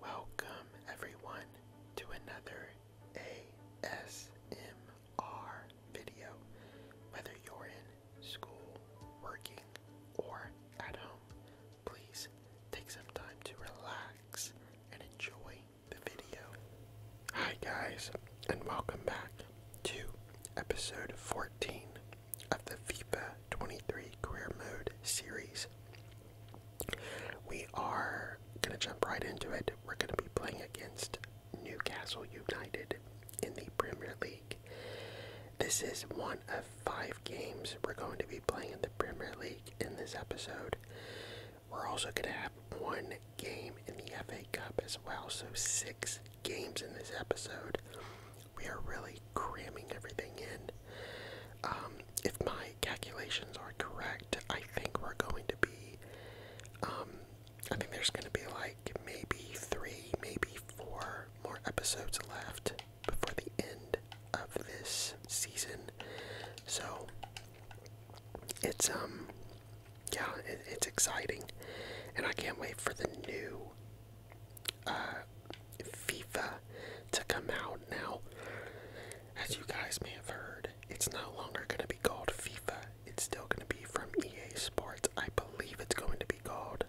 Welcome, everyone, to another ASMR video. Whether you're in school, working, or at home, please take some time to relax and enjoy the video. Hi, guys, and welcome back to episode 14 of the FIFA 23 Queer Mode series. We are going to jump right into it. We're going to be playing against Newcastle United in the Premier League. This is one of five games we're going to be playing in the Premier League in this episode. We're also going to have one game in the FA Cup as well, so six games in this episode. We are really cramming everything in. Um, if my calculations are correct, I think we're going to be, um, I think there's going to be like maybe three, maybe four more episodes left before the end of this season. So it's, um, yeah, it's exciting. And I can't wait for the new uh, FIFA to come out. Now, as you guys may have heard, it's no longer going to be called FIFA. It's still going to be from EA Sports. I believe it's going to be called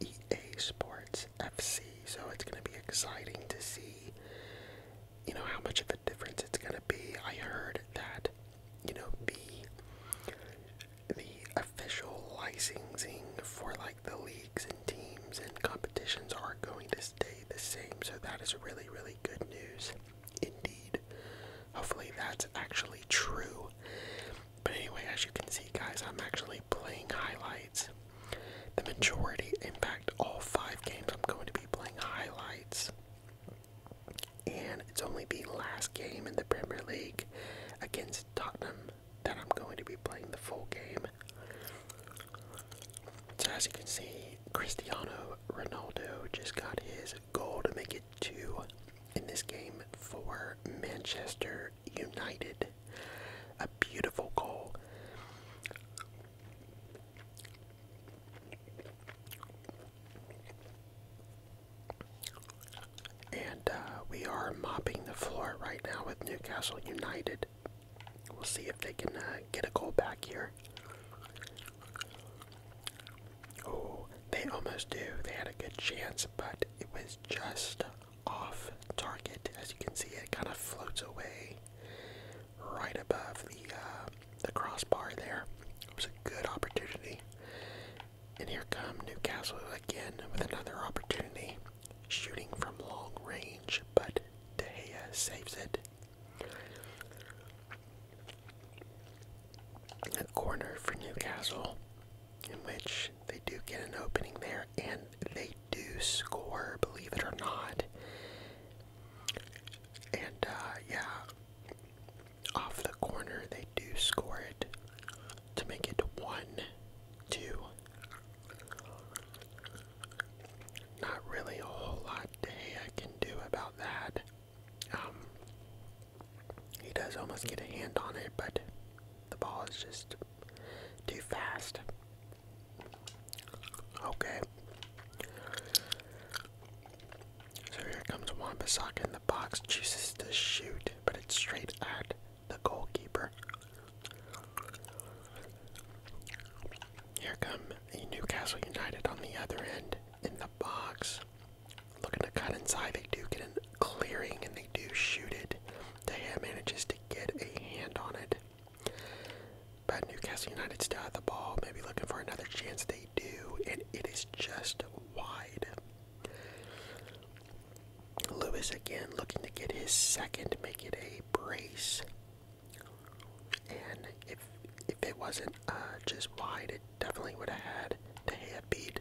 EA Sports FC. So it's going to be exciting to see, you know, how much of a difference it's going to be. I heard that, you know, the the official licensing for like the leagues and teams and competitions are going to stay the same, so that is really, really good news indeed. Hopefully, that's actually true. But anyway, as you can see, guys, I'm actually playing highlights. The majority, impact all five games, I'm going to be playing highlights. And it's only the last game in the Premier League against Tottenham that I'm going to be playing the full game. So as you can see, Cristiano Ronaldo just got his goal to make it two in this game for Manchester United. A beautiful goal. And uh, we are mopping the floor right now with Newcastle United We'll see if they can uh, get a goal back here. Oh, they almost do. They had a good chance, but it was just off target. As you can see, it kind of floats away right above the uh, the crossbar. There, it was a good opportunity. And here come Newcastle again with another opportunity, shooting from long range, but and De Gea saves it. corner for Newcastle, in which they do get an opening there, and they do score, believe it or not. And uh, yeah, off the corner they do score it to make it one, two not really a whole lot Dehea can do about that. Um, he does almost get a hand on it, but the ball is just too fast. Okay. So here comes Wambasaka in the box, chooses to shoot, but it's straight at the goalkeeper. Here come Newcastle United on the other end in the box. Looking to cut inside, they do get a clearing and they do shoot it. De Gea manages to get a hand on it. But Newcastle United still have the ball, maybe looking for another chance. They do, and it is just wide. Lewis again looking to get his second, make it a brace. And if if it wasn't uh, just wide, it definitely would have had De Gea beat.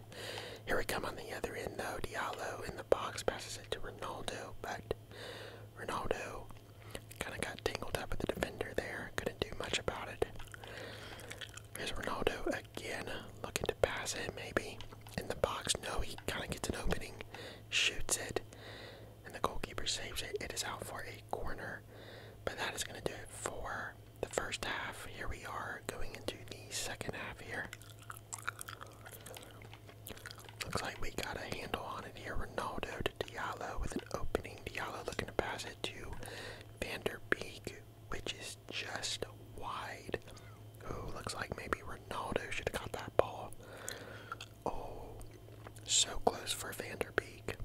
Here we come on the other end though. Diallo in the box passes it to Ronaldo, but Ronaldo kind of got tangled up with the defender there. Couldn't do much about it. Here's Ronaldo again, looking to pass it maybe in the box. No, he kind of gets an opening, shoots it, and the goalkeeper saves it. It is out for a corner, but that is going to do it for the first half. Here we are going into the second half here. Looks like we got a handle on it here. Ronaldo to Diallo with an opening. Diallo looking to pass it to Van der Beek, which is just wide. Ooh, looks like maybe Ronaldo should have that ball. Oh, so close for Vanderbeek.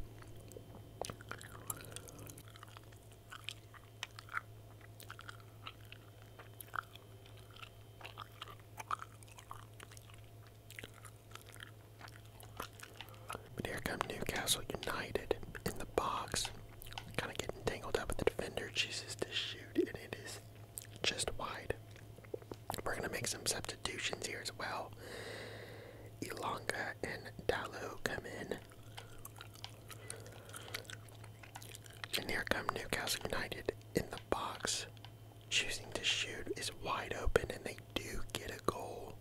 But here come Newcastle United in the box. Kind of getting tangled up with the defender. chooses to shoot, and it is just wide. We're gonna make some substitutions here as well. Elonga and Dalu come in. And here come Newcastle United in the box. Choosing to shoot is wide open and they do get a goal.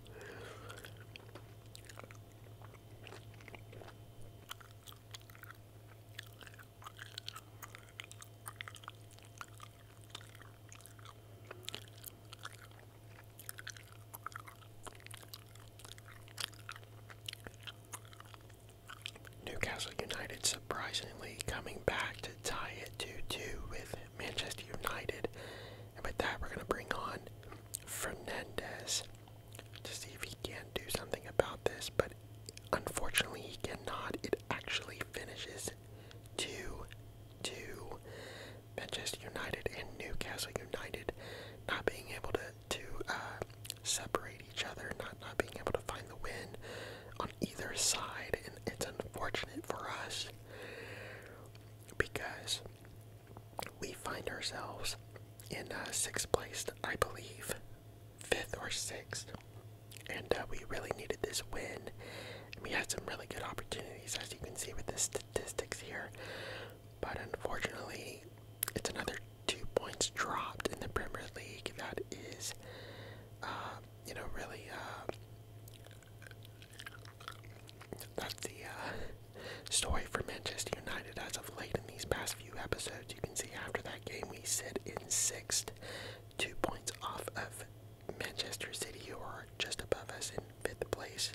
Newcastle United surprisingly coming back to tie it 2-2 with Manchester United. And with that, we're going to bring on Fernandez to see if he can do something about this. But unfortunately, he cannot. It actually finishes to, 2. Manchester United and Newcastle United not being able to, to uh, separate each other, not, not being able to find the win on either side. And it's unfortunate for us because we find ourselves in uh, sixth place, I believe, fifth or sixth and uh, we really needed this win. And we had some really good opportunities, as you can see with the statistics here. But unfortunately, it's another two points dropped in the Premier League. That is, uh, you know, really. Uh, that's the uh, story for Manchester United as of late in these past few episodes. You can see after that game we sit in sixth, two points off of Manchester City, who are just above us in fifth place.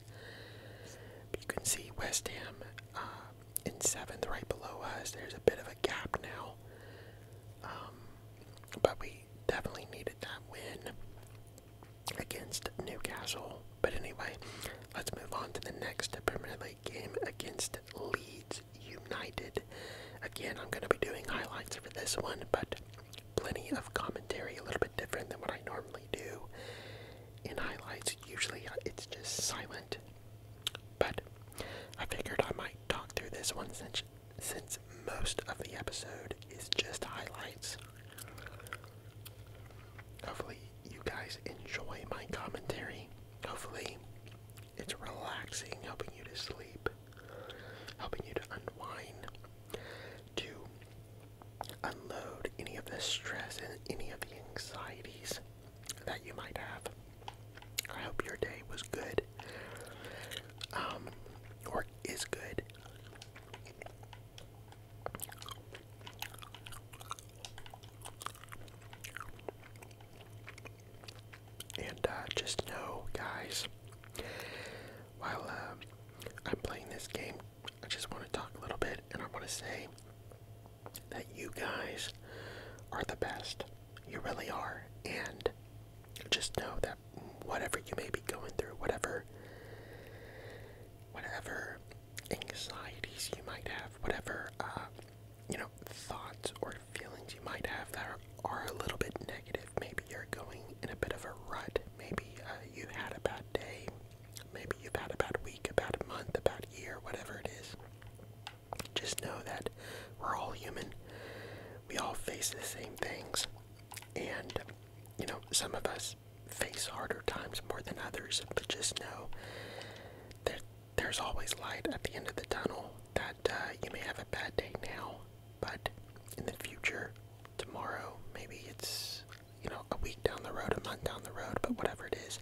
you can see West Ham uh, in seventh, right below us. There's a bit of a gap now. Um, but we definitely needed that win against Newcastle. But anyway, let's move on to the next Premier League game against Leeds United. Again, I'm going to be doing highlights for this one, but Plenty of commentary, a little bit different than what I normally do. In highlights, usually uh, it's just silent. But I figured I might talk through this one since, since most of the episode is just highlights. Hopefully, you guys enjoy my commentary. Hopefully, it's relaxing, helping you to sleep helping you to unwind, to unload any of the stress and any of the anxieties that you might have. I hope your day was good, um, is good. And uh, just know, guys, while um, I'm playing this game, I just want to talk a little bit and I want to say that you guys are the best. You really are. And just know that whatever you may be going through, whatever whatever anxieties you might have, whatever uh, you know thoughts or feelings you might have that are, a little bit negative. Maybe you're going in a bit of a rut. Maybe uh, you had a bad day. Maybe you've had a bad week, a bad month, a bad year, whatever it is. Just know that we're all human. We all face the same things. And, you know, some of us face harder times more than others, but just know that there's always light at the end of the tunnel. That uh, you may have a bad day now, but in the future, tomorrow, maybe it's, you know, a week down the road, a month down the road, but whatever it is,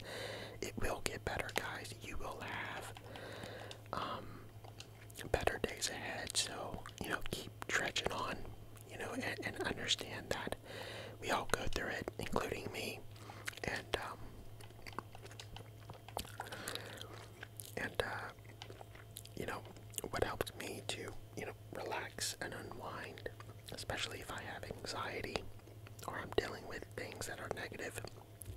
it will get better, guys. You will have um, better days ahead. So, you know, keep trudging on, you know, and, and understand that we all go through it, including me. And, um, and, uh, you know, what helps me to, you know, relax and unwind, especially if I have anxiety or I'm dealing with things that are negative,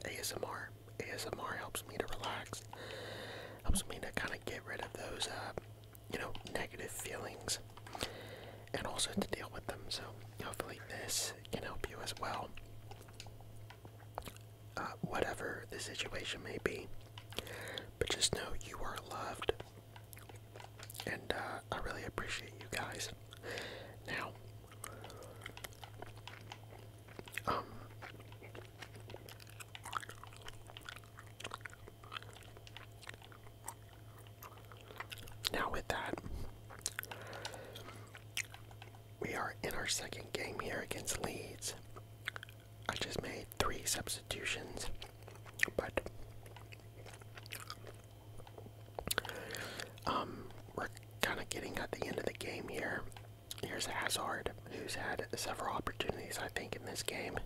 ASMR. ASMR helps me to relax, helps me to kind of get rid of those, uh, you know, negative feelings and also to deal with them. So, hopefully, this can help you as well. Uh, whatever the situation may be. But just know you are loved, and uh, I really appreciate you guys. Now, um, now with that, we are in our second game here against Leeds. I just made three substitutions, but um, we're kind of getting at the end of the game here. Here's Hazard, who's had several opportunities, I think, in this game.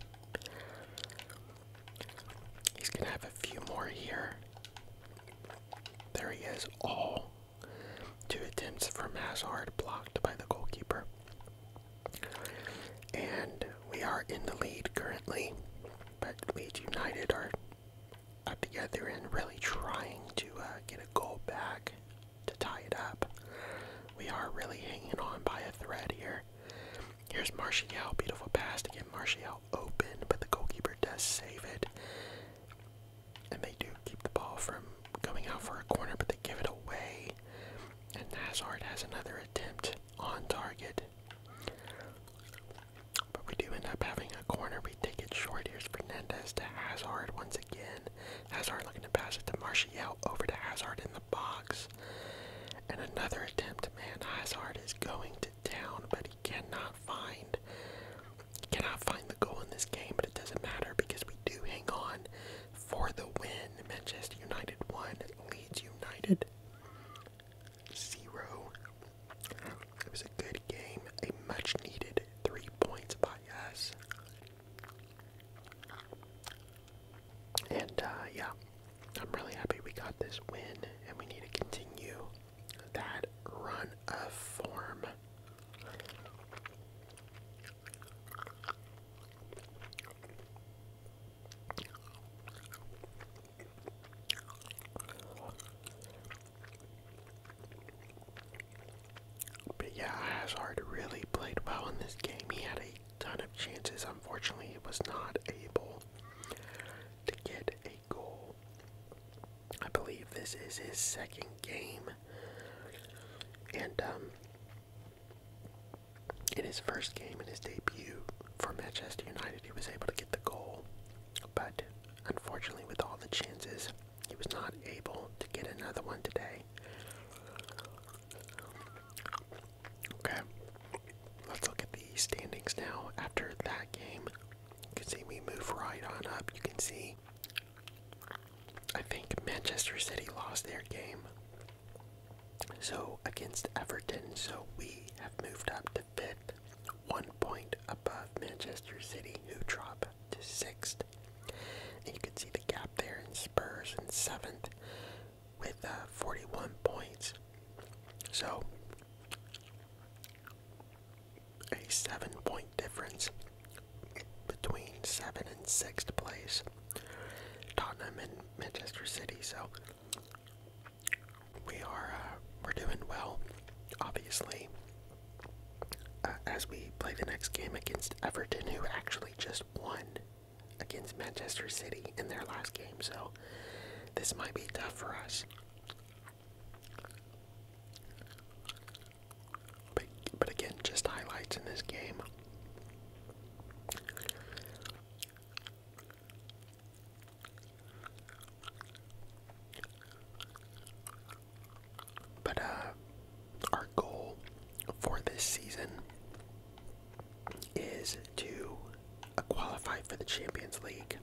He's gonna have a few more here. There he is, all. Two attempts from Hazard blocked by the goalkeeper. And we are in the lead currently, but Leeds United are up together and really trying to uh, get a goal back to tie it up. We are really hanging on by a thread here. Here's Martial, beautiful pass to get Martial open, but the goalkeeper does save it. And they do keep the ball from going out for a corner, but they give it away. And Hazard has another attempt on target. But we do end up having a corner. We take it short. Here's Fernandez to Hazard once again. Hazard looking to pass it to Martial over to Hazard in the box. And another attempt. Man, Hazard is going to town, but he cannot find cannot find the goal in this game, but it doesn't matter because we do hang on for the win. Manchester United 1, Leeds United 0. It was a good game, a much needed three points by us. And uh, yeah, I'm really happy we got this win, and we need to continue that run of form. But yeah, Hazard really played well in this game. He had a ton of chances. Unfortunately, he was not able to get a goal. I believe this is his second game. And um in his first game in his debut for Manchester United, he was able to get the goal, but unfortunately, with all the chances, he was not able to get another one today. Okay, let's look at the standings now. After that game, you can see me move right on up. You can see I think Manchester City lost their game. So against Everton, so we have moved up to fifth, one point above Manchester City, who drop to sixth. And you can see the gap there in Spurs and seventh with uh, 41 points. So a seven point difference between seventh and 6th place. Tottenham and Manchester City, so we are uh, we're doing well, obviously. Uh, as we play the next game against Everton, who actually just won against Manchester City in their last game, so this might be tough for us. But, again, just highlights in this game. But uh, our goal for this season is to qualify for the Champions League.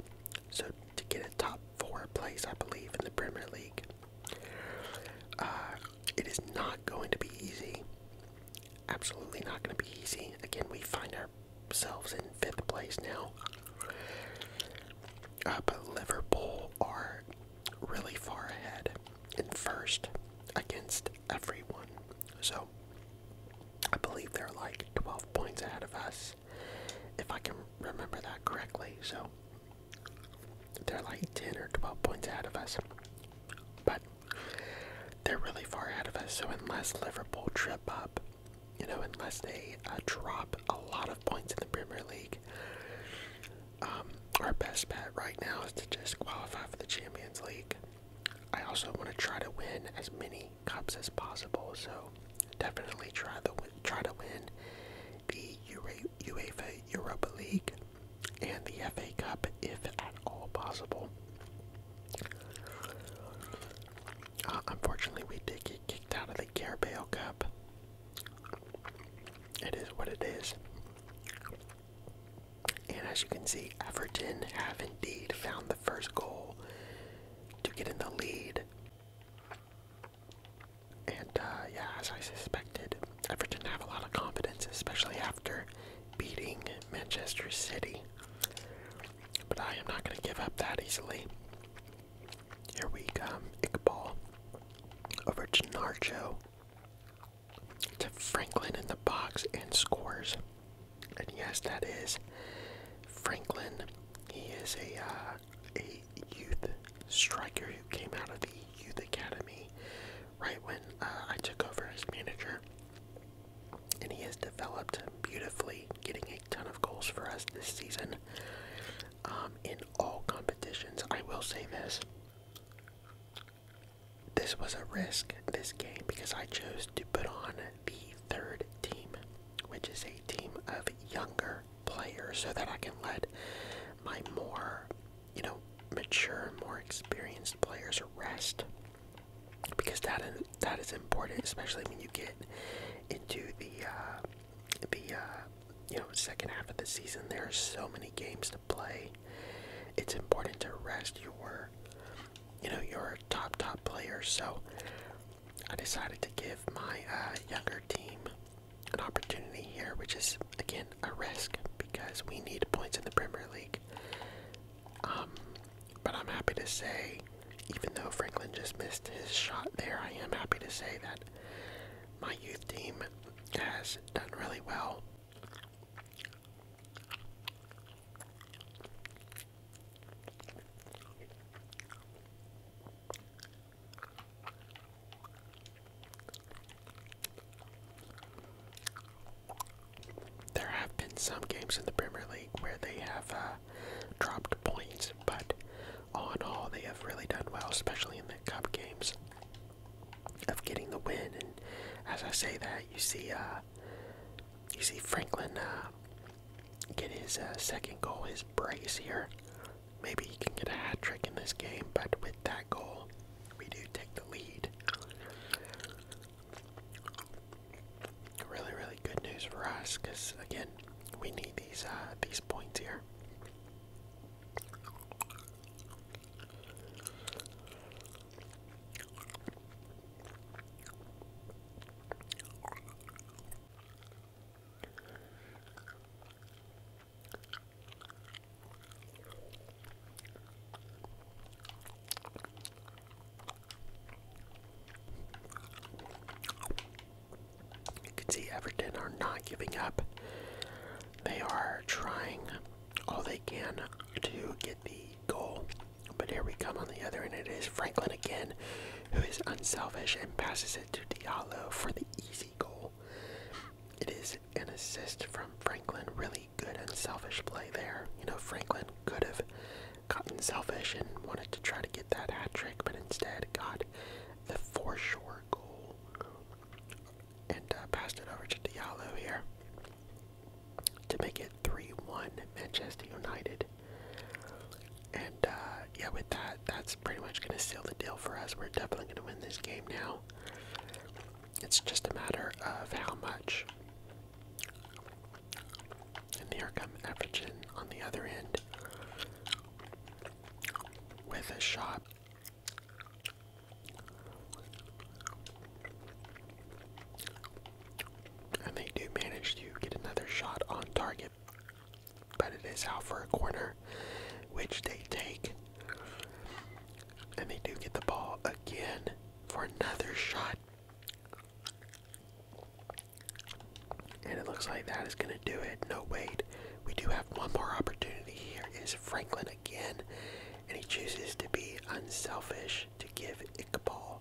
So to get a top four place, I believe, in the Premier League. Uh, it is not going to be easy. Absolutely not going to be easy. Again, we find ourselves in fifth place now. Uh, but Liverpool are really far ahead in first against everyone. So I believe they're like 12 points ahead of us, if I can remember that correctly. So they're like 10 or 12 points ahead of us. But they're really far ahead of us, so unless Liverpool trip up, you know, unless they uh, drop a lot of points in the Premier League, um, our best bet right now is to just qualify for the Champions League. I also want to try to win as many cups as possible, so definitely try the try to win the UEFA Europa League, and the FA Cup if at all possible. Uh, unfortunately, we did get kicked out of the Carabao Cup. It is what it is. And as you can see, Everton have indeed found the first goal to get in the lead. And uh, yeah, as I suspected, didn't have a lot of confidence, especially after beating Manchester City. But I am not going to give up that easily. Here we come. Um, Iqbal over to Narcho to Franklin in the box and scores. And yes, that is Franklin. He is a uh, a youth striker who came out of the youth academy right when uh, I took over as manager. And he has developed beautifully, getting a ton of goals for us this season um, in all competitions. I will say this this was a risk, this game, because I chose to put on the third team, which is a team of younger players, so that I can let my more you know, mature, more experienced players rest because that is, that is important, especially when you get into the uh, the uh, you know second half of the season. There are so many games to play. It's important to rest your you know your top top players. So I decided to give my uh, younger team an opportunity here, which is again a risk because we need points in the Premier League. Um, but I'm happy to say, even though Franklin just missed his shot there, I am happy to say that my youth team has done really well. There have been some games in the Premier League where they have uh, dropped points, but all in all, they have really done well, especially in the cup games, of getting the win. And as I say that, you see, uh, you see Franklin uh, get his second goal, his brace here. Maybe he can get a hat trick in this game, but with that goal, we do take the lead. Really, really good news for us, because again, we need these uh, these points here. You can see Everton are not giving up. They are trying all they can to get the goal. But here we come on the other end. It is Franklin again, who is unselfish and passes it to Diallo for the easy goal. It is an assist from Franklin. Really good unselfish play there. You know, Franklin could have gotten selfish and wanted to try to get that hat trick, but instead got the for sure goal and uh, passed it over to Diallo here to make it 3 1 Manchester United. And uh, yeah, with that, that's pretty much going to seal the deal for us. We're definitely going to win this game now. It's just a matter of how much. And here come Effigen on the other end with a shot. And they do manage to get another shot on target, but it is out for a corner, which they take. And they do get the ball again for another shot. And it looks like that is going to do it. No, wait. We do have one more opportunity here. Is Franklin again? And he chooses to be unselfish to give Iqbal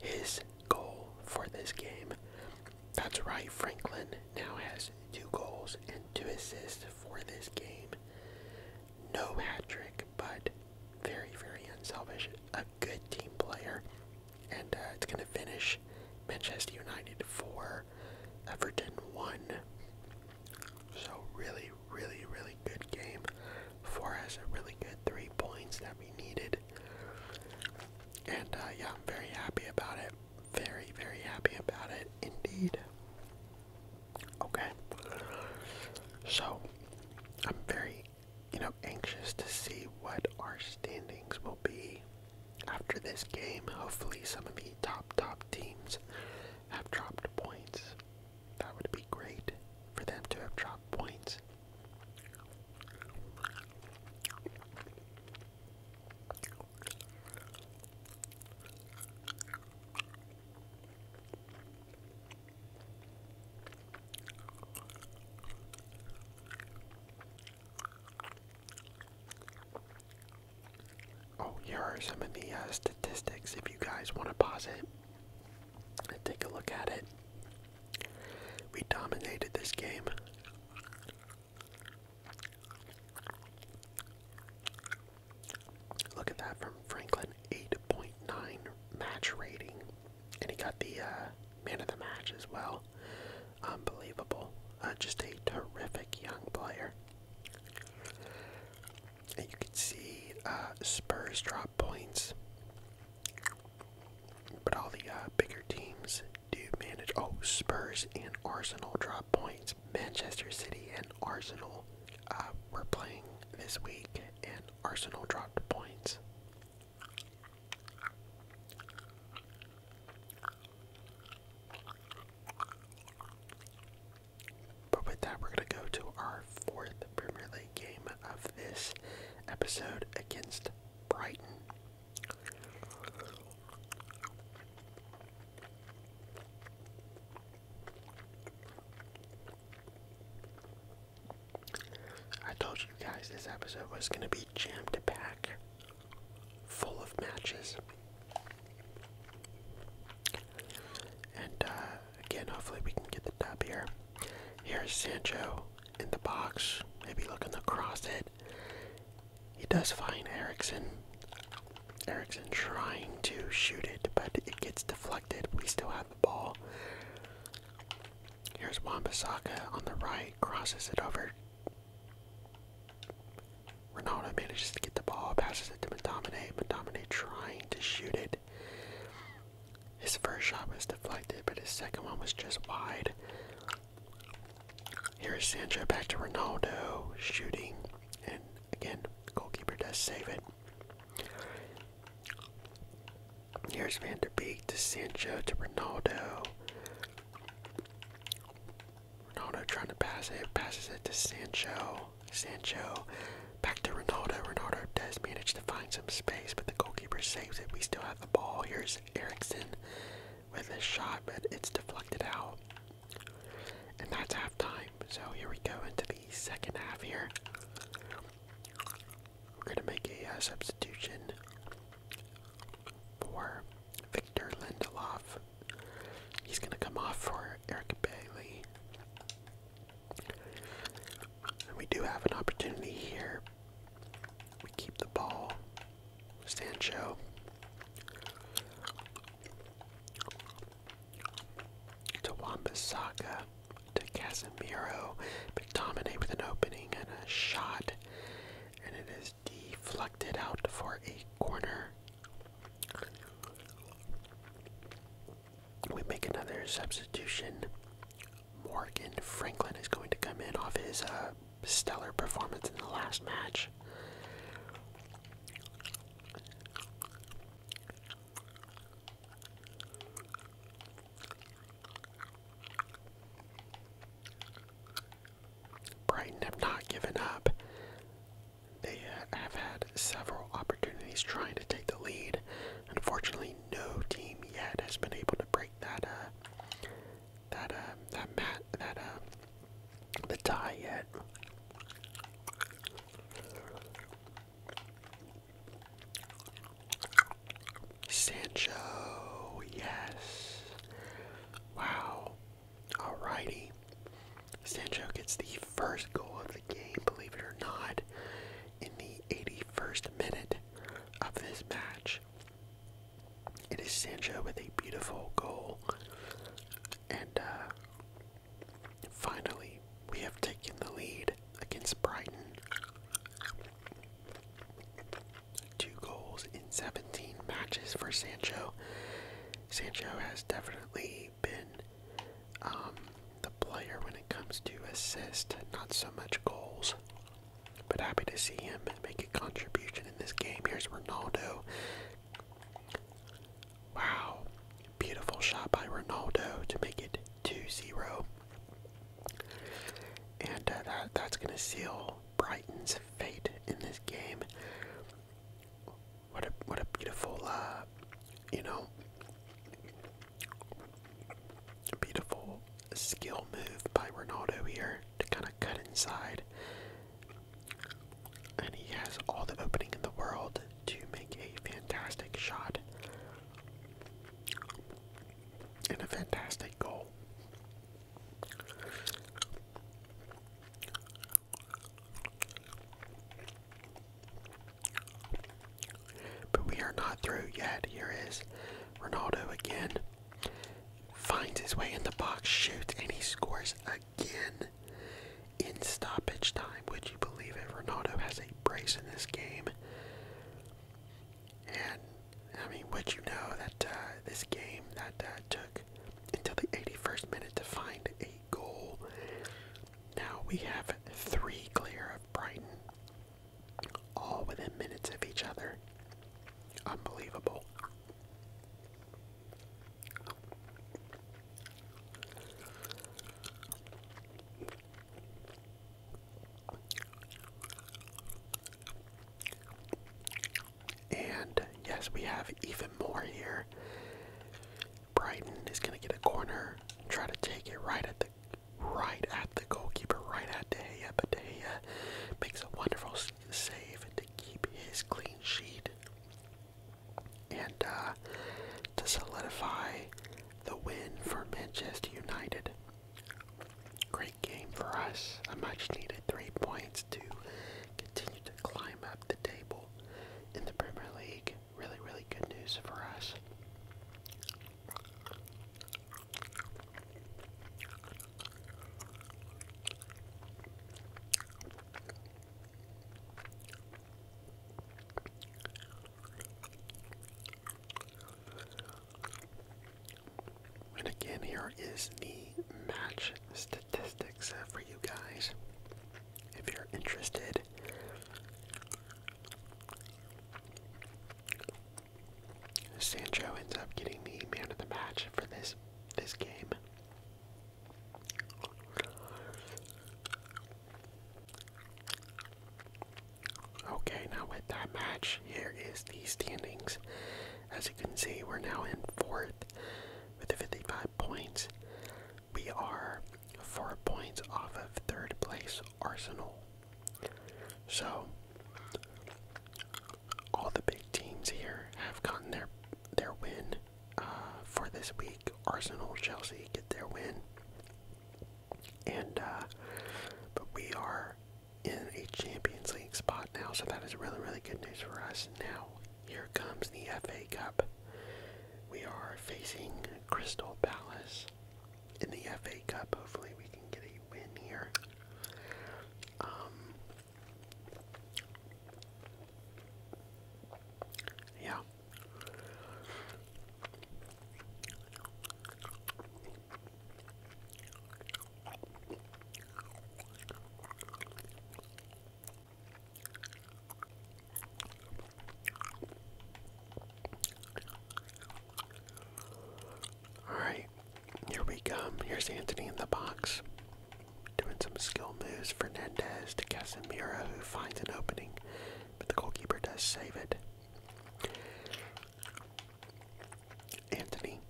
his goal for this game. That's right, Franklin now has two goals and two assists for this game. No hat trick, but very, very unselfish. A good team player, and uh, it's going to finish Manchester United four, Everton one. So really, really, really good game. for us. a really good three points that we needed, and uh, yeah, I'm very happy about it. Very, very happy about it indeed. Okay. So, I'm very, you know, anxious to see what our standings will be after this game. Hopefully, some of the top, top teams have dropped points. That would be great for them to have dropped points. Oh, here are some of the uh, statistics if you guys want to pause it and take a look at it. We dominated this game. Look at that from Franklin, 8.9 match rating. And he got the uh, man of the match as well. Unbelievable. Uh, just a terrific young player. And you can see uh, Spurs drop points. But all the bigger teams do manage. Oh, Spurs and Arsenal drop points. Manchester City and Arsenal uh, we're playing this week, and Arsenal dropped points. But with that, we're going to go to our fourth Premier League game of this episode against Brighton. I told you guys this episode was going to be jammed packed, full of matches. And uh, again, hopefully, we can get the top here. Here's Sancho in the box, maybe looking cross it. He does find Erickson. Erickson trying to shoot it, but it gets deflected. We still have the ball. Here's Wambasaka on the right, crosses it over. Ronaldo manages to get the ball, passes it to Madomine. Madomine trying to shoot it. His first shot was deflected, but his second one was just wide. Here's Sancho back to Ronaldo shooting, and again, Goalkeeper does save it. Here's Van der Beek to Sancho to Ronaldo. Ronaldo trying to pass it, passes it to Sancho. Sancho back to Ronaldo. Ronaldo does manage to find some space, but the goalkeeper saves it. We still have the ball. Here's Erickson with a shot, but it's deflected out. And that's half So here we go into the second half here. We're going to make a uh, substitution for Victor Lindelof. He's going to come off for Eric Bailey. we do have an opportunity here. We keep the ball. Stand show to Wambasaka, to Casemiro, dominate with an opening and a shot, and it is deflected out for a corner. We make another substitution. Morgan Franklin is going to come in off his uh, stellar performance in the last match. Brighton have not given up. They have had several opportunities trying to take the lead. Unfortunately, no team yet has been able to break that uh, that uh, that that uh, the tie yet. Sancho, yes. Wow. Alrighty. Sancho gets the first goal of the game, believe it or not, in the 81st minute of this match. It is Sancho with a beautiful goal. And uh, Finally, we have taken the lead against Brighton. Two goals in 17 matches for Sancho. Sancho has definitely been um, the player when it comes to assist, not so much goals. But happy to see him make a contribution in this game. Here's Ronaldo. Wow. Beautiful shot by Ronaldo to make it 2-0. And uh, that, that's going to seal Brighton's fate in this game. What a what a beautiful uh, you know beautiful skill move by Ronaldo here to kind of cut inside and he has all the opening in the world to make a fantastic shot and a fantastic goal. But we are not through yet. Here is Ronaldo again. Finds his way in the box, shoots, and he scores again again in stoppage time. Would you believe it? Ronaldo has a brace in this game. And, I mean, would you know that uh, this game that uh, took until the 81st minute to find a goal? Now we have three clear of Brighton, all within minutes of each other. Unbelievable. And yes, we have even more here. Brighton is going to get a corner, try to take it right at the right at the goalkeeper, right at the. Gea, but De Gea makes a wonderful save to keep his clean sheet and uh, to solidify the win for Manchester United. Great game for us. A much needed three points to continue to climb up the table in the Premier League. Really, really good news for us. And again, here is the match statistics for you guys if you're interested. Sancho ends up getting the man of the match for this this game. Okay, now with that match, here is the standings. As you can see, we're now in fourth with the 55 points. We are four points off of third place Arsenal. So all the big teams here have gotten their their win for this week. Arsenal, Chelsea get their win, and uh, but we are in a Champions League spot now, so that is really really good news for us. Now here comes the FA Cup. We are facing Crystal Palace in the FA Cup. Hopefully, we can get a win here. Um, yeah, all right, here we come. Here's Anthony in the box doing some skill moves. Fernandez to Casemiro, who finds an opening, but the goalkeeper does save it. Anthony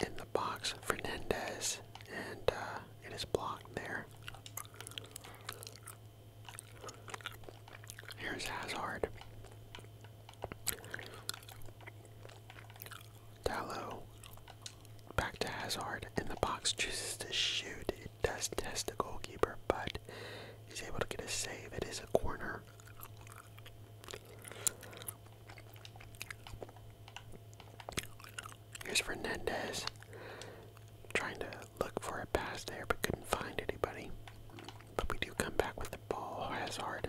in the box, Fernandez, and uh, it is blocked there. Here's Hazard. Tallow Back to Hazard, and the box chooses to shoot. It does test the goalkeeper, but he's able to get a save. It is a corner. Here's Fernandez trying to look for a pass there, but couldn't find anybody. But we do come back with the ball. Hazard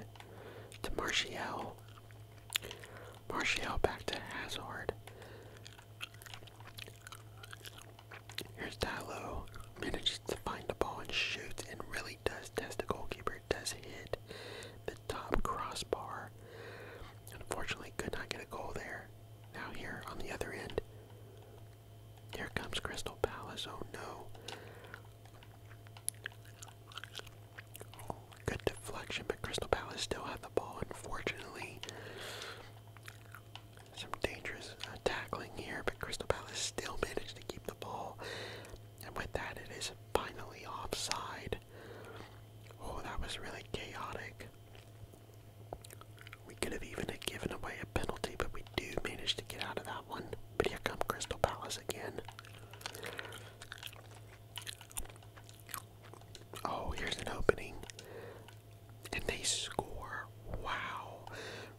to Martial. Martial back to Hazard. Here's Tylo. Manages to find the ball and shoots and really does test the goalkeeper. Does hit the top crossbar. Unfortunately, could not get a goal there. Now here on the other end. Here comes Crystal Palace. Oh no. Good deflection, but Crystal Palace still have the ball, unfortunately. Some dangerous uh, tackling here, but Crystal Palace still managed to keep the ball. And with that, it is finally offside. Oh, that was really chaotic. We could have even given away a penalty, but we do manage to get out of that one. But here come Crystal Palace again. Oh, here's an opening. And they score. Wow.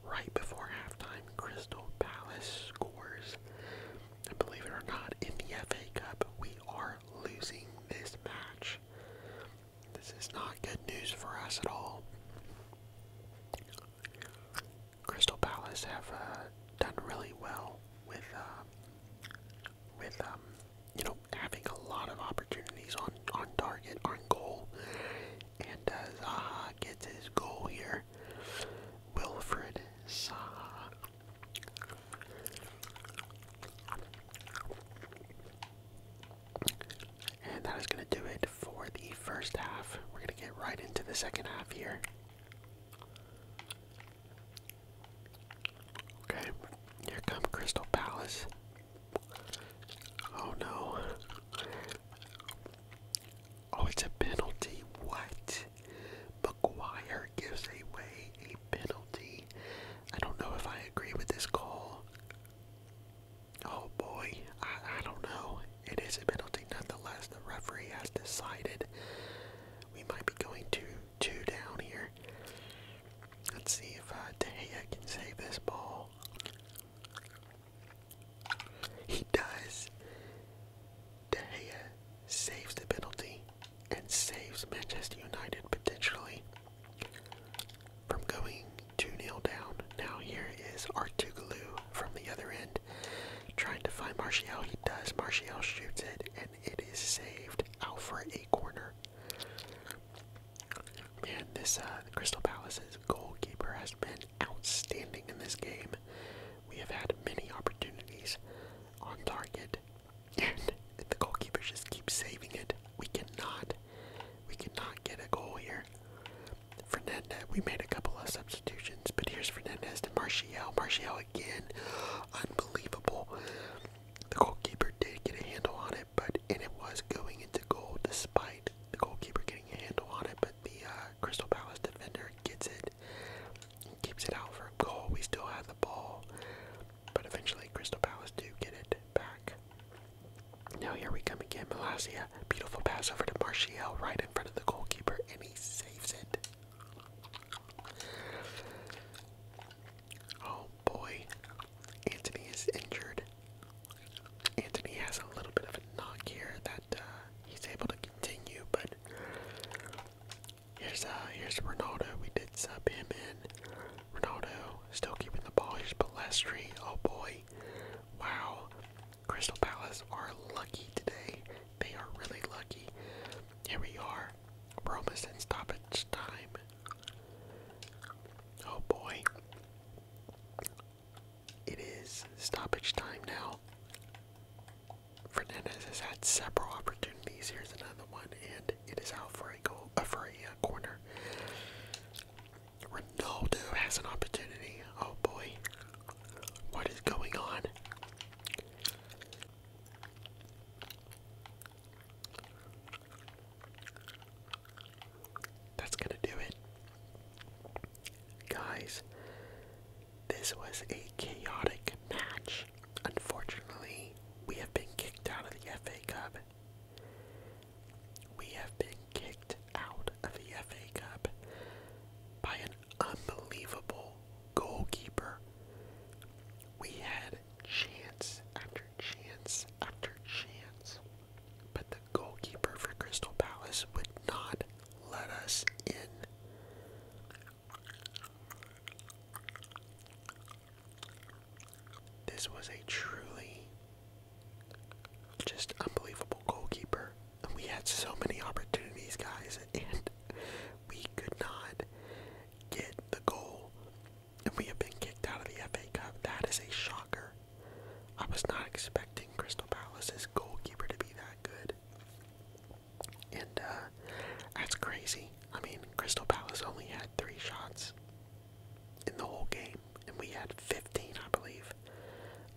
Right before halftime, Crystal Palace scores. And believe it or not, in the FA Cup, we are losing this match. This is not good news for us at all. Crystal Palace have uh, done really well with uh, with um, you know having a lot of opportunities on on target, on goal, and uh, gets his goal here. Wilfred Zaha. And that is going to do it for the first half. We're going to get right into the second half here. Okay, here come Crystal Palace. Oh no. Oh, it's a penalty. What? McGuire gives away a penalty. I don't know if I agree with this call. Oh boy, I, don't know. It is a penalty nonetheless. The referee has decided we might be going to two down here. Let's see if uh, De Gea can save this ball. He does. De Gea saves the penalty and saves Manchester United potentially from going 2-0 down. Now here is Artugulu from the other end trying to find Martial. He does. Martial shoots it and it is saved out for a corner. Man, this uh, Crystal Palace's goalkeeper has been outstanding in this game. We have had many opportunities on target, and the goalkeeper just keeps saving it. We cannot, we cannot get a goal here. Fernandez, we made a couple of substitutions, but here's Fernandez to Martial. Martial again, unbelievable. The goalkeeper did get a handle on it but and it was going into goal despite the goalkeeper getting a handle on it. But the uh, Crystal Palace defender gets it keeps it out for a goal. We still had the ball, but eventually Crystal Palace do get it back. Now here we come again, Malasia. Beautiful pass over to Martial right in front of the goalkeeper, and he saves it. Oh boy, Anthony is injured. Anthony has a little bit of a knock here that uh, he's able to continue, but here's uh, here's Ronaldo. We did sub him in. Ronaldo still keeping the ball. Here's Balestri. Oh boy, wow. Crystal Palace are lucky today. They are really lucky. Here we are. We're in stoppage time. Oh boy. It is stoppage time now. Fernandez has had several opportunities. Here's another one, and it is out for a goal, uh, for a uh, corner. Ronaldo has an opportunity. Oh boy, what is going on? That's gonna do it. Guys, this was a chaotic match. Unfortunately, we have been kicked out of the FA Cup. We have been kicked out of the FA Cup by an unbelievable goalkeeper. We had chance after chance after chance, but the goalkeeper for Crystal Palace would not let us in. This was a truly just unbelievable goalkeeper. And we had so many opportunities, guys, and we could not get the goal and we have been kicked out of the FA Cup. That is a shocker. I was not expecting Crystal Palace's goalkeeper to be that good. And uh, that's crazy. I mean, Crystal Palace only had three shots in the whole game, and we had 15, I believe.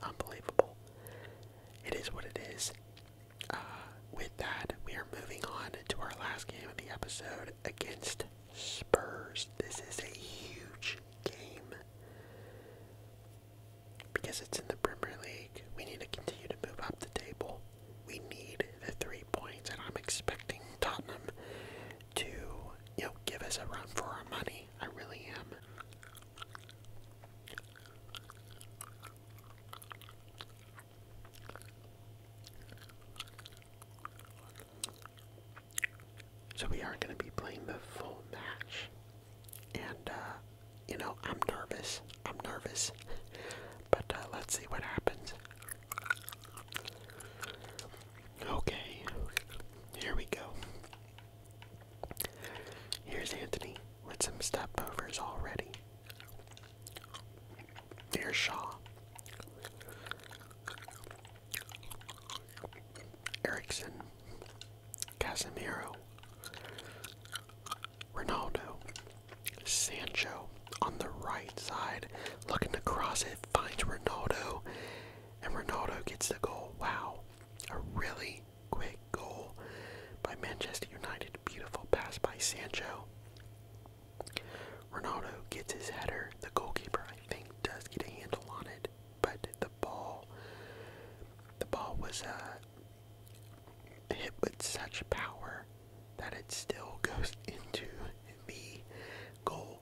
Unbelievable. It is what it is. Uh, with that, we are moving on to our last game of the episode against Spurs. This is a huge game. Because it's in the Premier League, we need to continue to move up the table. We need the three points, and I'm expecting Tottenham to, you know, give us a run for our money. I really am. So we are going to be playing the full match. And, uh, you know, I'm nervous. I'm nervous. But uh, let's see what happens. Okay, here we go. Here's Anthony with some stepovers already. There's Shaw. Erickson, Casemiro, Ronaldo, Sancho on the right side, looking to cross it, finds Ronaldo, and Ronaldo gets the goal. Wow, a really quick goal by Manchester United. Beautiful pass by Sancho. Ronaldo gets his header. The goalkeeper, I think, does get a handle on it, but the ball, the ball was uh, hit with such power that it still goes into the goal,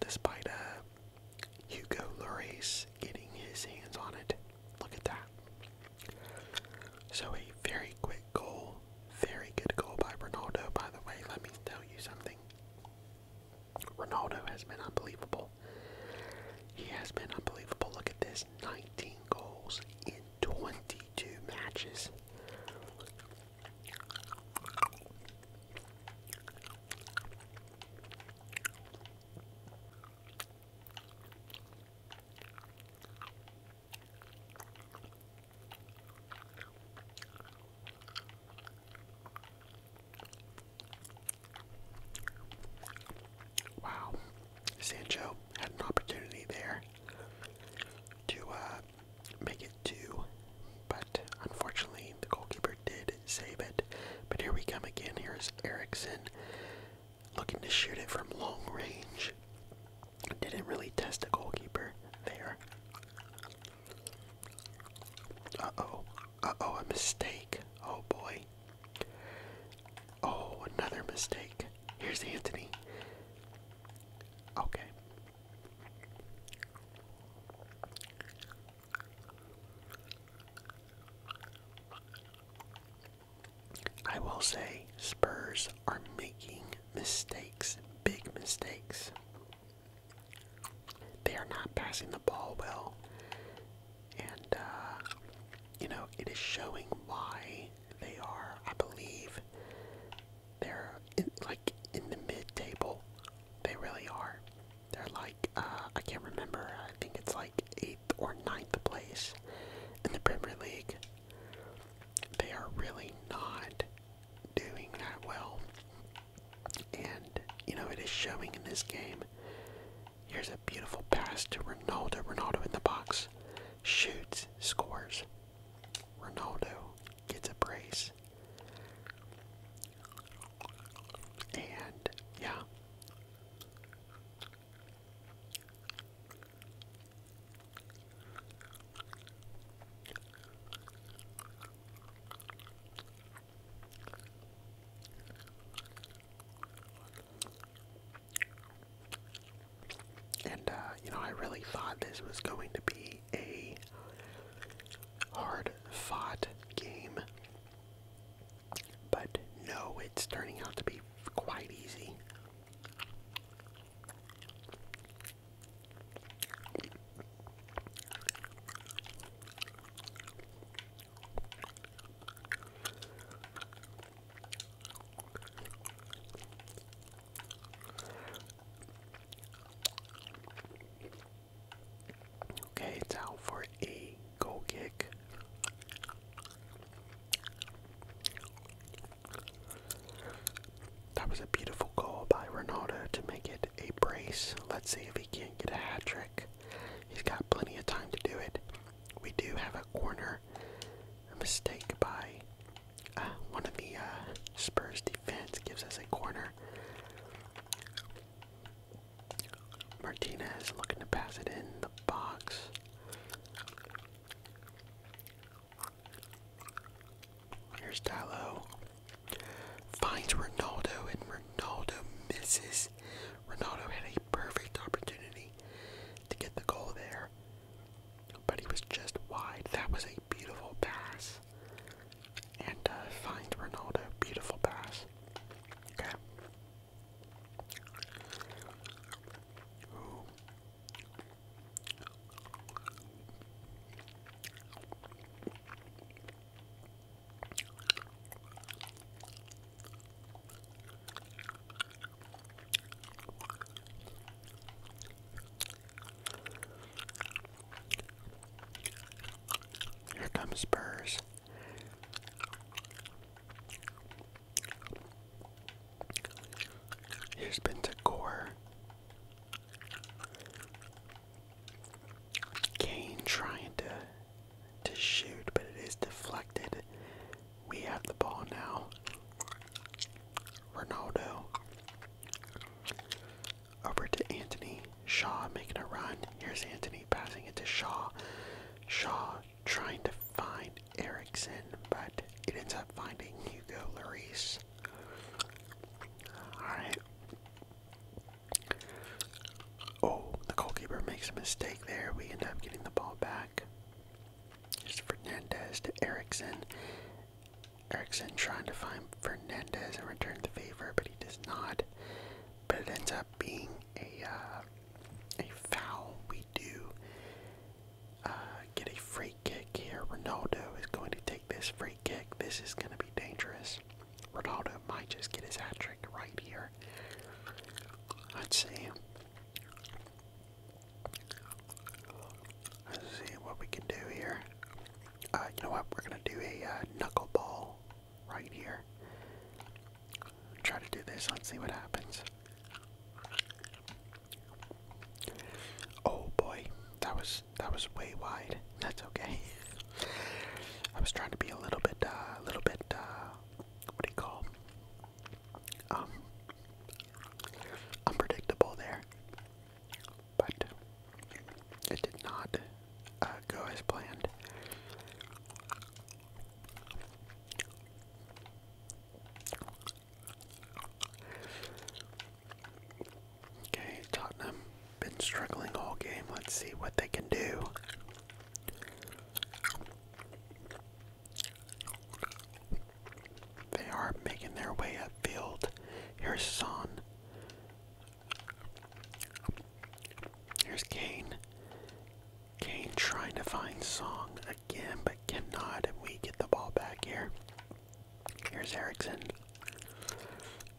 despite uh, Hugo Lloris getting his hands on it. Look at that. So a very quick goal, very good goal by Ronaldo. By the way, let me tell you something. Ronaldo has been unbelievable. He has been unbelievable. Look at this 19 goals in 22 matches. Wow, Sancho had an opportunity there to uh, make it two, but unfortunately the goalkeeper did save it. But here we come again. Here's Erickson looking to shoot it from long range. Didn't really test the goalkeeper there. Uh-oh. Uh-oh, a mistake. Oh boy. Oh, another mistake. Here's Anthony. Okay. I will say Spurs are making mistakes, big mistakes. They are not passing the ball well. And, uh, you know, it is showing why they are, I believe, they're like in the mid table. They really are. They're like, uh, I can't remember, I think it's like 8th or ninth place in the Premier League. They are really not doing that well. And, you know, it is showing in this game. Here's a beautiful pass to Ronaldo. Ronaldo in the box. Shoots. Scores. Ronaldo gets a brace. And, yeah. And, uh, you know, I really thought this was going to be a hard fought game, but no, it's turning out to be quite easy. Okay, it's out for a goal kick. That was a beautiful goal by Ronaldo to make it a brace. Let's see if he can't get a hat trick. He's got plenty of time to do it. We do have a corner, a mistake by uh, one of the uh, Spurs defense gives us a corner. Martinez looking to pass it in the box. Here's Dilo. Finds Ronaldo and Ronaldo misses. Ronaldo had a perfect opportunity to get the goal there. But he was just wide. That was a beautiful pass. And uh, finds Ronaldo. Beautiful pass. Okay. Here comes Spurs. Here's Bentacor. Kane trying to to shoot, but it is deflected. We have the ball now. Ronaldo. Over to Anthony. Shaw making a run. Here's Anthony passing it to Shaw. Shaw trying to find Erickson, but it ends up finding Hugo Lloris. Alright. Oh, the goalkeeper makes a mistake there. We end up getting the ball back. It's Fernandez to Erickson. Erickson trying to find Fernandez and return the favor, but he does not. But it ends up being a uh, a foul. We do uh, get a free kick here. Ronaldo is going to take this free kick. This is going to be dangerous. Ronaldo might just get his hat trick right here. Let's see. Let's see what we can do here. Uh, you know what? We're going to do a uh, knuckle ball right here. Try to do this. Let's see what happens. Oh boy, that was that was way wide. That's okay. I was trying to be a little bit, uh, a little bit, uh, what do you call, um, unpredictable there, but it did not uh, go as planned. Okay, Tottenham been struggling all game. Let's see what they can do. They are making their way upfield. Here's Song. Here's Kane. Kane trying to find Song again, but cannot, and we get the ball back here. Here's Erickson.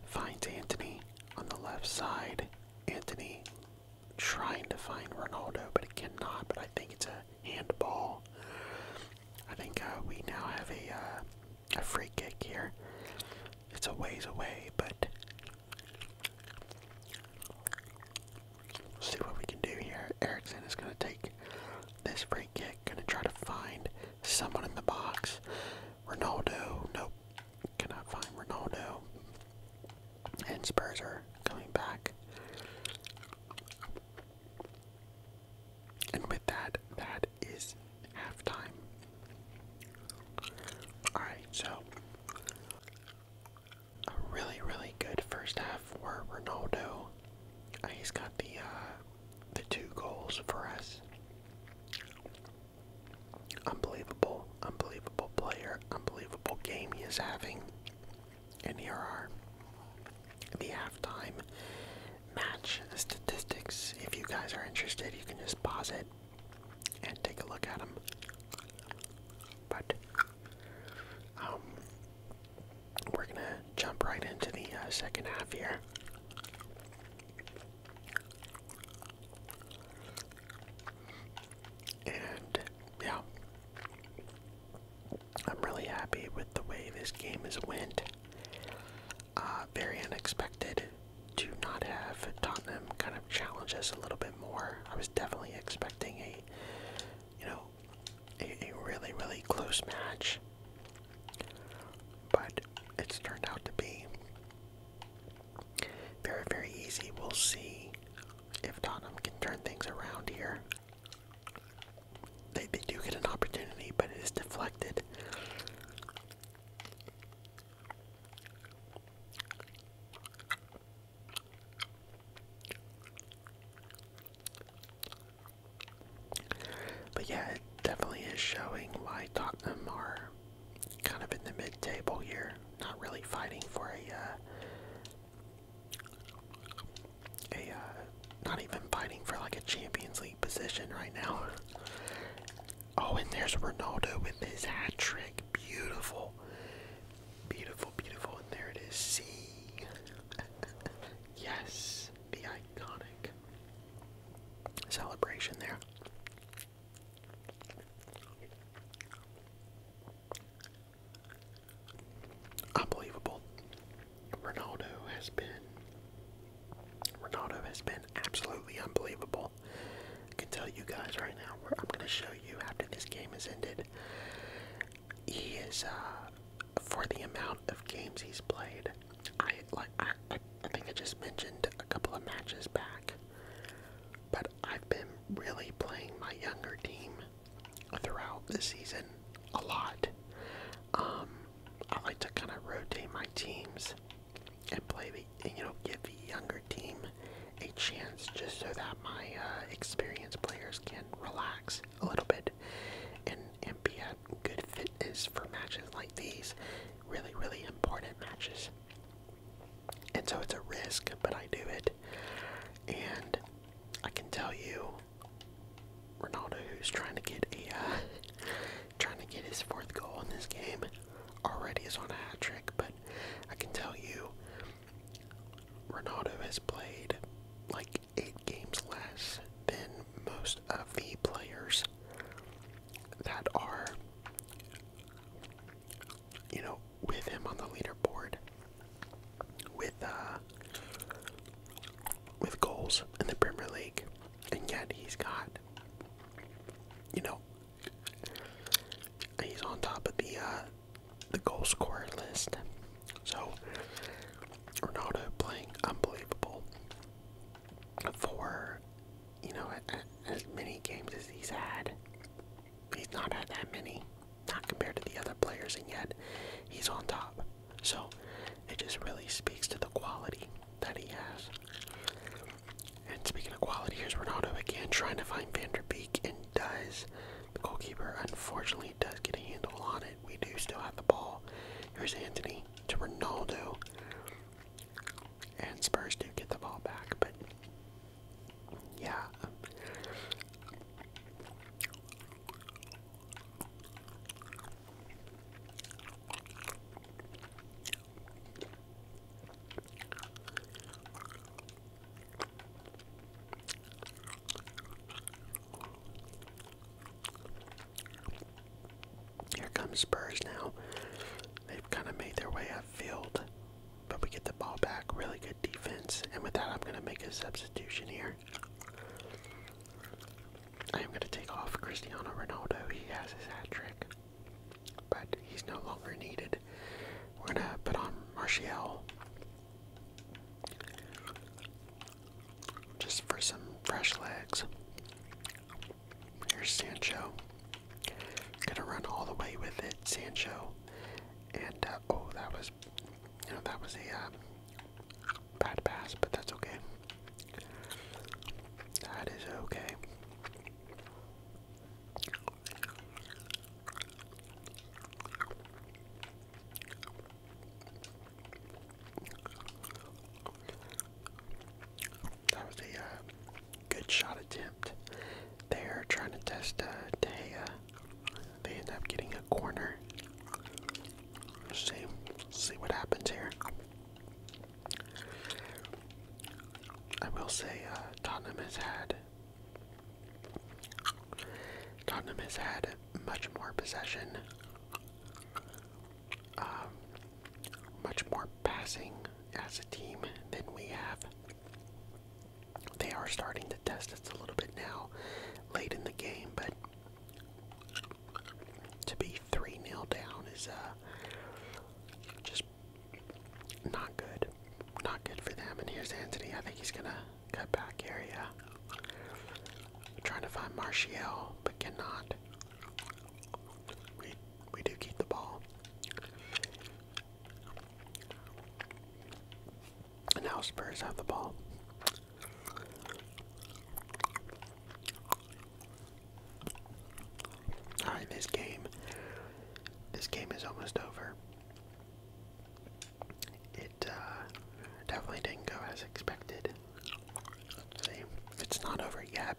Finds Anthony on the left side. Anthony trying to find Ronaldo, but it cannot. But I think it's a handball. I think uh, we now have a uh, a free kick here. It's a ways away, but see what we can do here. Erickson is going to take this free kick, going to try to find Someone in the box. Ronaldo. Nope. Cannot find Ronaldo. And Spurs are coming back. And with that, that is halftime. Alright, so a really, really good first half for Ronaldo. Uh, he's got the uh, the two goals for us. Unbelievable, unbelievable player, unbelievable game he is having. And here are the halftime match statistics. If you guys are interested, you can just pause it and take a look at them. But um, we're gonna jump right into the uh, second half here. And yeah, I'm really happy with the way this game has went. Uh, very unexpected to not have Tottenham kind of challenge us a little bit more. I was definitely expecting a, you know, a really really close match. But it's turned out to be very, very easy. We'll see if Tottenham can turn things around here. They, they do get an opportunity, but it is deflected. But yeah, it definitely is showing why Tottenham are kind of in the mid table here, not really fighting for a uh, a uh, not even fighting for like a Champions League position right now. Oh, and there's Ronaldo with his hat trick. Beautiful. Beautiful, beautiful. And there it is. See? yes. The iconic celebration there. Unbelievable. Ronaldo has been Ronaldo has been absolutely unbelievable. I can tell you guys right now. Where I'm going to show you after this game is ended. He is uh, for the amount of games he's played. I like I, I think I just mentioned a couple of matches back, but I've been really playing my younger team throughout the season a lot. Um, I like to kind of rotate my teams and play the you know give the younger team a chance just so that my uh, experienced players can relax a little bit and and be at good fitness for matches like these really, really important matches. And so it's a risk, but I do it. And I can tell you, Ronaldo, who's trying to get a, uh, trying to get his fourth goal in this game, already is on a hat trick. But I can tell you, Ronaldo has played like eight games less than most of the players that are, you know, with him on the leaderboard with uh with goals in the Premier League, and yet he's got, you know, he's on top of the uh, the goal scorer list. So Ronaldo playing unbelievable for you know as many games as he's had. He's not had that many, not compared to the other players, and yet he's on top. So it just really speaks to the quality that he has. And speaking of quality, here's Ronaldo again trying to find Van der Beek and does. The goalkeeper unfortunately does get a handle on it. We do still have the ball. Here's Anthony to Ronaldo. And Spurs do get the ball back, but yeah. Here comes Spurs now. They've kind of made their way upfield, but we get the ball back. Really good defense. And with that, I'm going to make a substitution here. I am going to take off Cristiano Ronaldo. He has his hat trick, but he's no longer needed. We're going to put on Martial. Just for some fresh legs. Here's Sancho. Gonna run all the way with it, Sancho. And uh, oh, that was, you know, that was a uh, bad pass, but that's okay. That is okay. That was a uh, good shot attempt. They're trying to test uh, They end up getting a corner. Let's see, see what happens here. I will say uh, Tottenham has had Tottenham has had much more possession um, much more passing as a team than we have. They are starting to test us a little bit now, late in the game, but to be 3 0 down is uh, just not good. Not good for them. And here's Anthony. I think he's going to cut back area. Trying to find Martial, but cannot. We do keep the ball. And now Spurs have the ball. Alright, this game this game is almost over. It uh, definitely didn't go as expected. See, it's not over yet.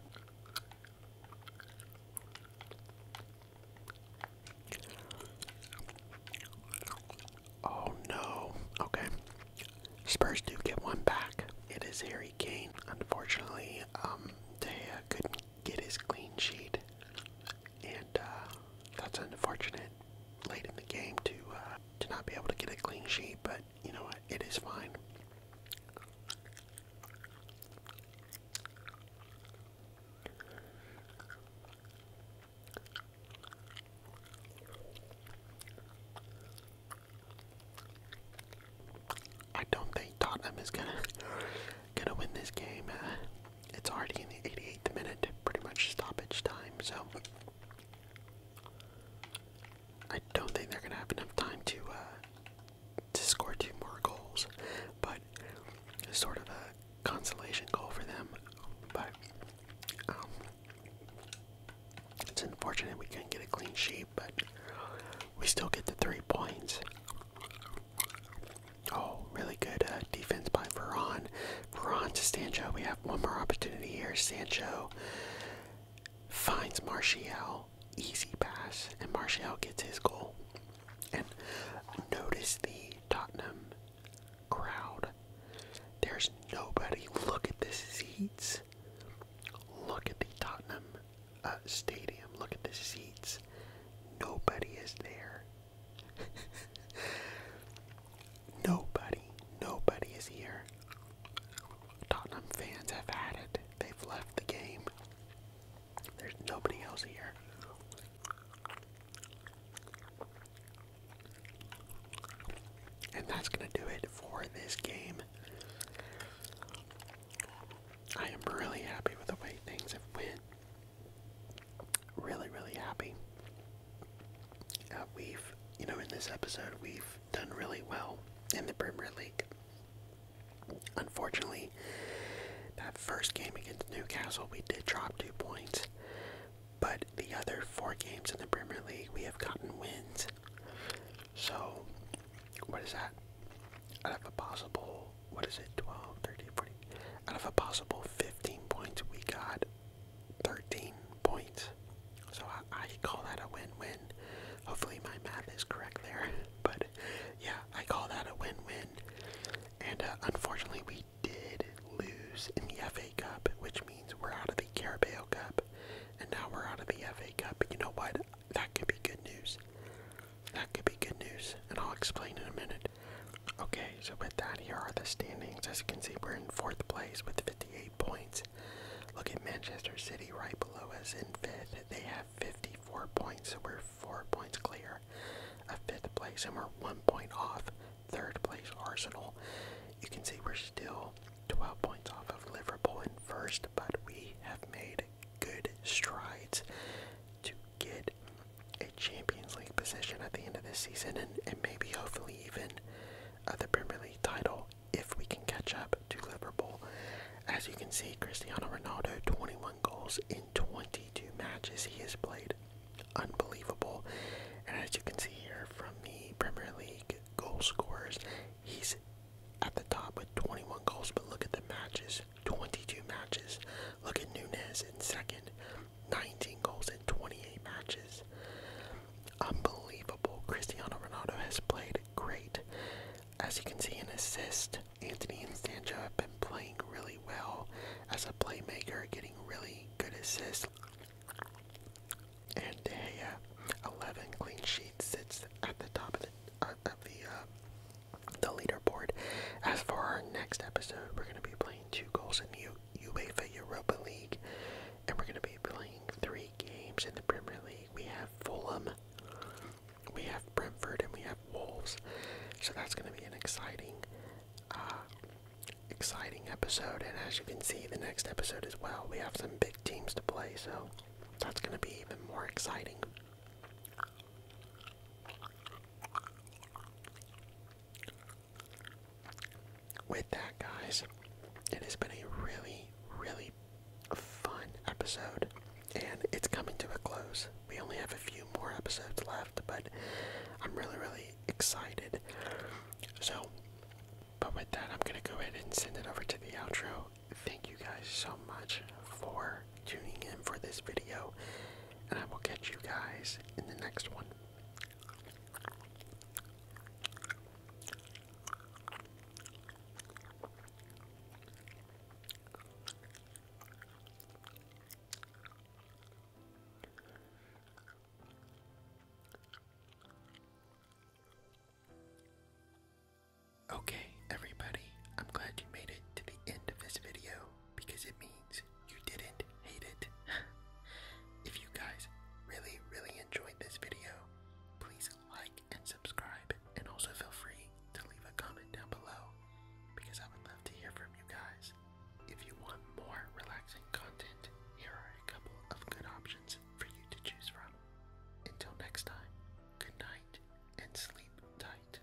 Oh no. Okay. Spurs do get one back. It is Harry Kane. Unfortunately, um, they couldn't get his clean sheet, and uh, that's unfortunate. Late in the game to uh, to not be able to get a clean sheet, but you know what? It is fine. I don't think Tottenham is gonna gonna win this game. Uh, it's already in the 88th minute, pretty much stoppage time. So I don't think they're gonna have enough time to uh, to score two more goals, but it's sort of a consolation goal for them. But um, it's unfortunate we couldn't get a clean sheet, but we still get the three points. Oh, really good uh, defense by Veron. Veron to Sancho. We have one more opportunity here. Sancho finds Martial easy pass, and Martial gets his goal. And notice the Tottenham crowd. There's nobody. Look at the seats. Look at the Tottenham uh, stadium. Look at the seats. Nobody is there. nobody. Nobody is here. Tottenham fans have had it. They've left the game. There's nobody else here. And that's going to do it for this game. I am really happy with the way things have went. Really, really happy. Uh, we've, you know, in this episode, we've done really well in the Premier League. Unfortunately, that first game against Newcastle, we did drop two points, but the other four games in the Premier League, we have gotten wins. So, what is that? Out of a possible, what is it, 12, 13, 14? Out of a possible 15 points, we got 13 points. So I, call that a win-win. Hopefully my math is correct there, but yeah, I call that a win-win. And uh, unfortunately, we did lose in the FA Cup, which means we're out of the Carabao Cup, and now we're out of the FA Cup. But you know what? That could be good news. That could be good news, and I'll explain in a minute. Okay, so with that, here are the standings. As you can see, we're in fourth place with 58 points. Look at Manchester City right below us in fifth. They have 54 points, so we're four points clear of fifth place, and we're one point off third place Arsenal. You can see we're still 12 points off of Liverpool in first, but we have made good strides to get a Champions League position at the end of this season and, maybe hopefully even uh, the Premier League title if we can catch up to Liverpool. As you can see, Cristiano Ronaldo, 21 goals in 22 matches he has played. Unbelievable. And as you can see here from the Premier League goal scorers, he's at the top with 21 goals, but look at the matches 22 matches. Look at Nunez in second, 19 goals in 28 matches. Unbelievable. Cristiano Ronaldo has played great. As you can see in assist, Anthony and Sancho have been playing really well as a playmaker, getting really good assists. And Dehea, 11 clean sheets, sits at the top of the, uh, of the, uh, the leaderboard. As for our next episode, we're going to be playing two goals in the UEFA Europa League, and we're going to be playing three games in the Premier League. We have Fulham we have Brentford and we have Wolves, so that's going to be an exciting, uh, exciting episode. And as you can see, the next episode as well, we have some big teams to play, so that's going to be even more exciting. With that, guys, it has been a really, really fun episode, and it's coming to a close. We only have a few more episodes left, but I'm really, really excited. So, but with that, I'm going to go ahead and send it over to the outro. Thank you guys so much for tuning in for this video, and I will catch you guys in the next one. Okay, everybody, I'm glad you made it to the end of this video because it means you didn't hate it. if you guys really, really enjoyed this video, please like and subscribe, and also feel free to leave a comment down below because I would love to hear from you guys. If you want more relaxing content, here are a couple of good options for you to choose from. Until next time, good night and sleep tight.